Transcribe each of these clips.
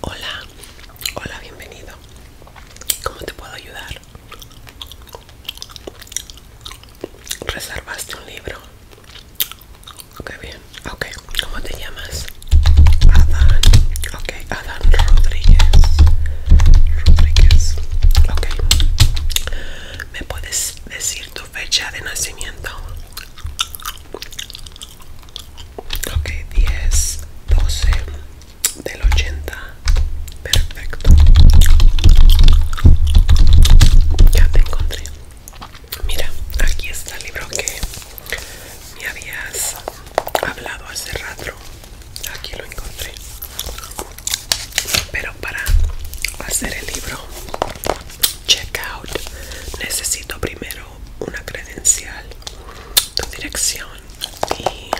Hola, hola, bienvenido. ¿Cómo te puedo ayudar? ¿Reservaste un libro? Ok, bien. Ok, ¿cómo te llamas? Adán. Ok, Adán Rodríguez. Rodríguez. Ok. ¿Me puedes decir tu fecha de nacimiento? Ok, 10, 12 del 80. Perfecto. Ya te encontré. Mira, aquí está el libro que me habías hablado hace rato. Aquí lo encontré. Pero para hacer el libro check out, necesito primero una credencial, tu dirección y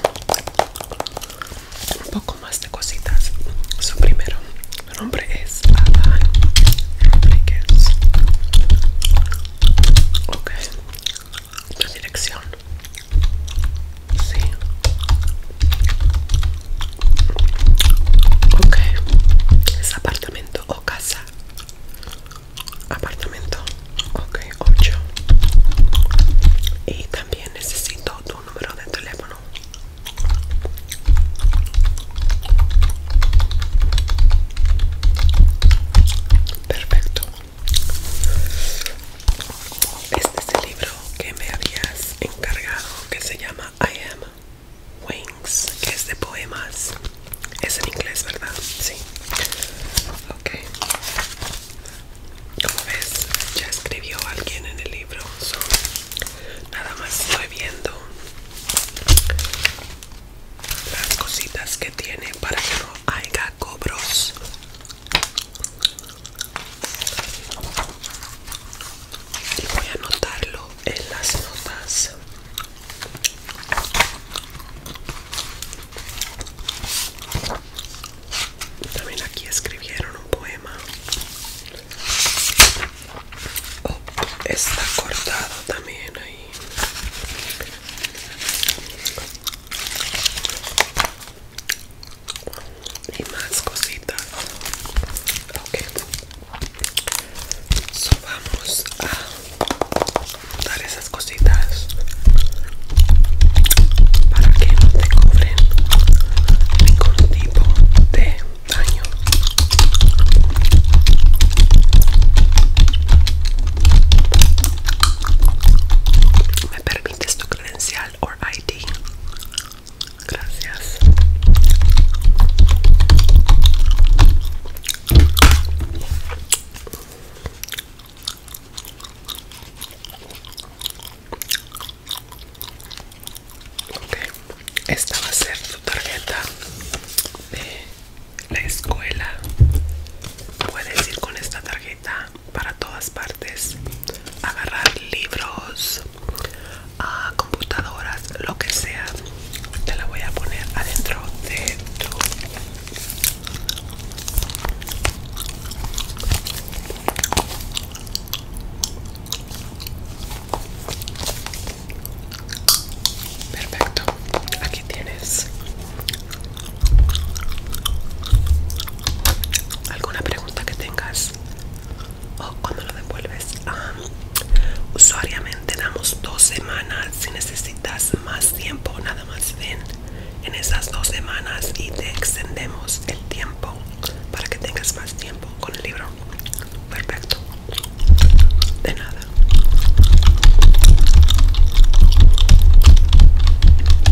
un poco más de cositas. Su primero, mi nombre es Alan tu dirección. Sí. Ok, es apartamento o casa. Apartamento, ok, 8. Y también necesito tu número de teléfono. Perfecto. Este es el libro que me habías encargado que se llama I Am Wings, que es de poemas. Es en inglés, ¿verdad? Sí. Ok. Como ves, ya escribió alguien en el libro. nada más estoy viendo las cositas que tiene para que no haya cobros y voy a anotarlo en las notas también aquí escribieron un poema oh, está cortado también ahí y más cositas ok so vamos a dar esas cositas para que no te cubren ningún tipo de daño ¿Me permites tu credencial o ID? Gracias. esta va a ser tu tarjeta de la escuela. Puedes ir con esta tarjeta para todas partes, agarrar libros, ah, computadoras, lo que sea. Te la voy a poner adentro de tu Perfecto, aquí tienes. ¿Alguna pregunta? que tengas o cuando lo devuelves usuariamente damos dos semanas si necesitas más tiempo nada más ven en esas dos semanas y te extendemos el tiempo para que tengas más tiempo con el libro perfecto de nada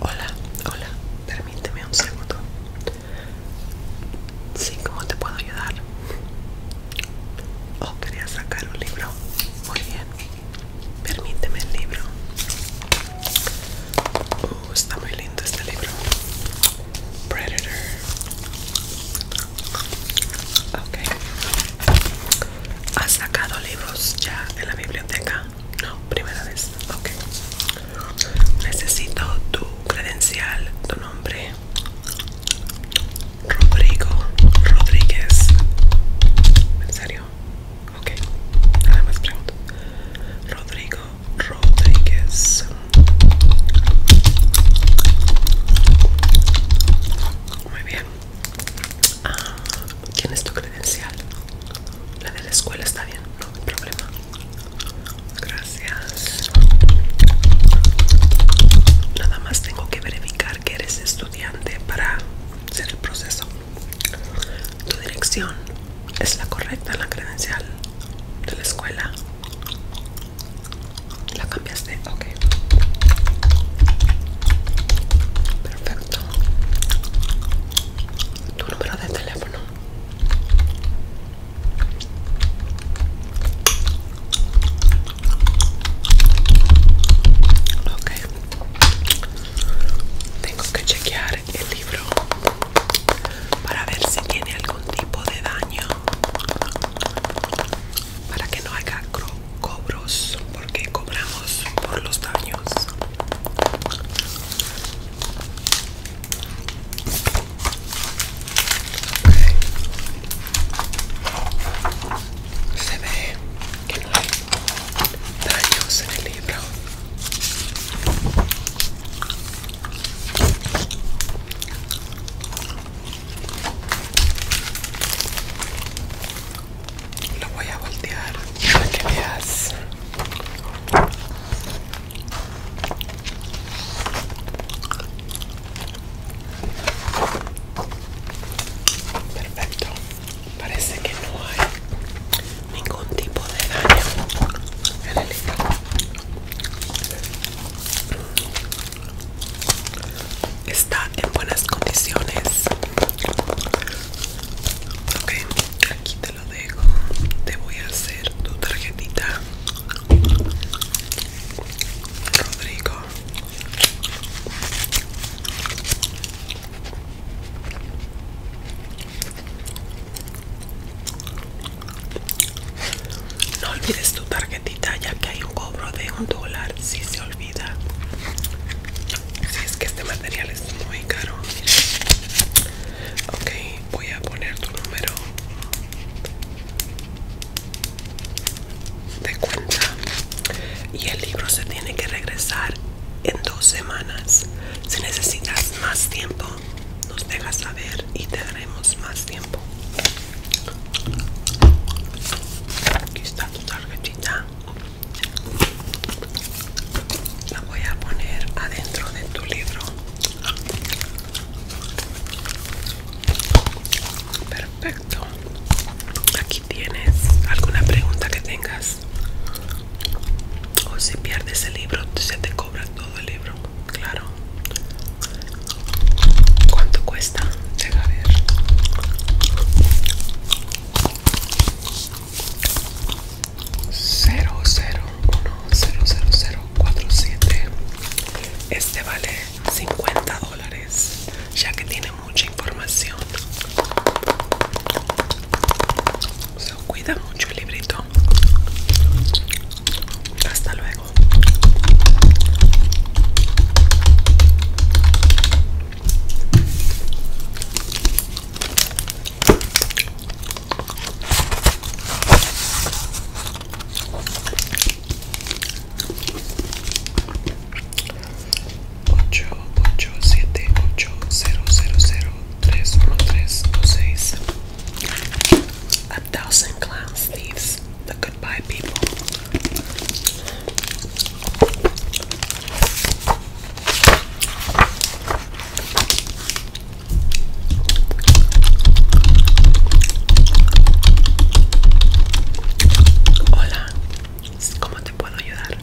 Hola, hola, permíteme un segundo. Sí, ¿cómo te puedo ayudar? Oh, quería sacar un libro. Muy bien. Permíteme el libro. Uh, está muy lindo este libro. Predator. Ok. ¿Has sacado libros ya de la biblioteca? No, primera vez. Ok. Necesito tu credencial, tu nombre. Rodrigo Rodríguez. ¿En serio? Ok. Nada más pregunto. Rodrigo Rodríguez. Muy bien. ¿Quién ah, es tu credencial? La de la escuela está bien, no hay problema. Gracias. Nada más tengo que verificar que eres estudiante para hacer el proceso. Tu dirección es la correcta la credencial de la escuela. La ok. Perfecto. Tu número de teléfono. Ok. Tengo que chequear el libro para ver si tiene algún tipo de daño. Para que no haga cobros porque cobramos por los daños se ve que hay daños en el libro lo voy a voltear para que veas. Perfecto. Parece que no hay ningún tipo de daño en el hígado está en buenas condiciones ok aquí te lo dejo te voy a hacer tu tarjetita Rodrigo no olvides tu tarjetita ya que hay un cobro de un dólar si se olvida si es que este material es muy caro ok voy a poner tu número de cuenta y el libro se tiene que regresar en dos semanas si necesitas más tiempo nos dejas saber y te daremos más tiempo Aquí está tu tarjetita. La voy a poner adentro de tu libro. Perfecto. Aquí tienes alguna pregunta que tengas. O si pierdes el libro, se te cobra todo el libro claro. ¿Cuánto cuesta? a ver. Cero, cero, Este vale 50 dólares, ya que tiene mucha información. Se cuida mucho el librito. Hasta luego. Ocho, ocho, siete, ocho, cero, cero, cero, tres, tres, seis. A thousand clowns, thieves, the goodbye people. Hola, ¿cómo te puedo ayudar?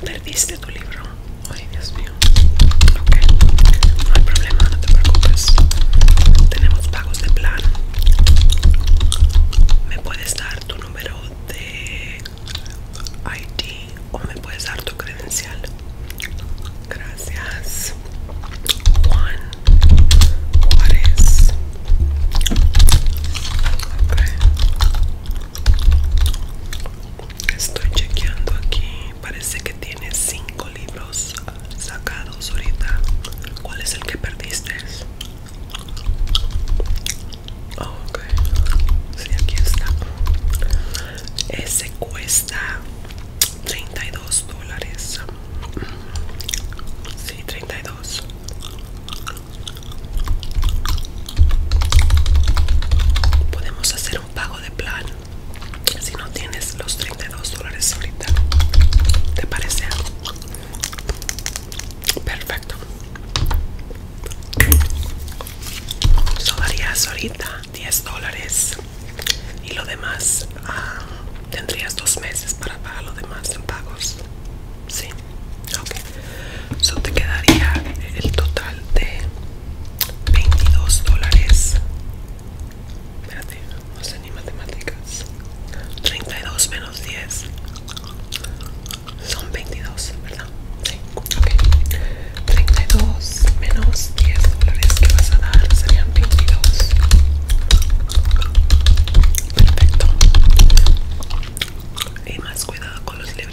Perdiste tu libro. Ok, no hay problema, no te preocupes. Tenemos pagos de plan Me puedes dar tu número de ID o me puedes dar tu credencial. Gracias. Juan Juárez. Estoy chequeando aquí. Parece que tiene cinco libros sacados ahorita. ¿Cuál es el que perdiste? Oh, sí, aquí está. Ese cuesta 32 dólares. Si, 32. Podemos hacer un pago de plan si no tienes los 32 dólares ahorita te parece perfecto so darías ahorita 10 dólares y lo demás ah, tendrías dos meses para pagar lo demás en pagos sí ok so te quedaría el total de 22 dólares. Espérate, no sé ni matemáticas. 32 menos 10 son 22, ¿verdad? Sí, 32 menos 10 dólares que vas a dar serían 22. Perfecto. Y más cuidado con los libretos.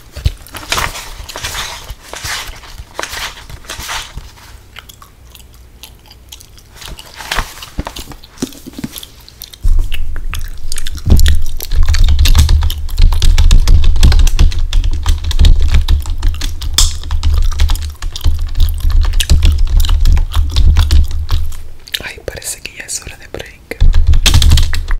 Ay, parece que ya es hora de break.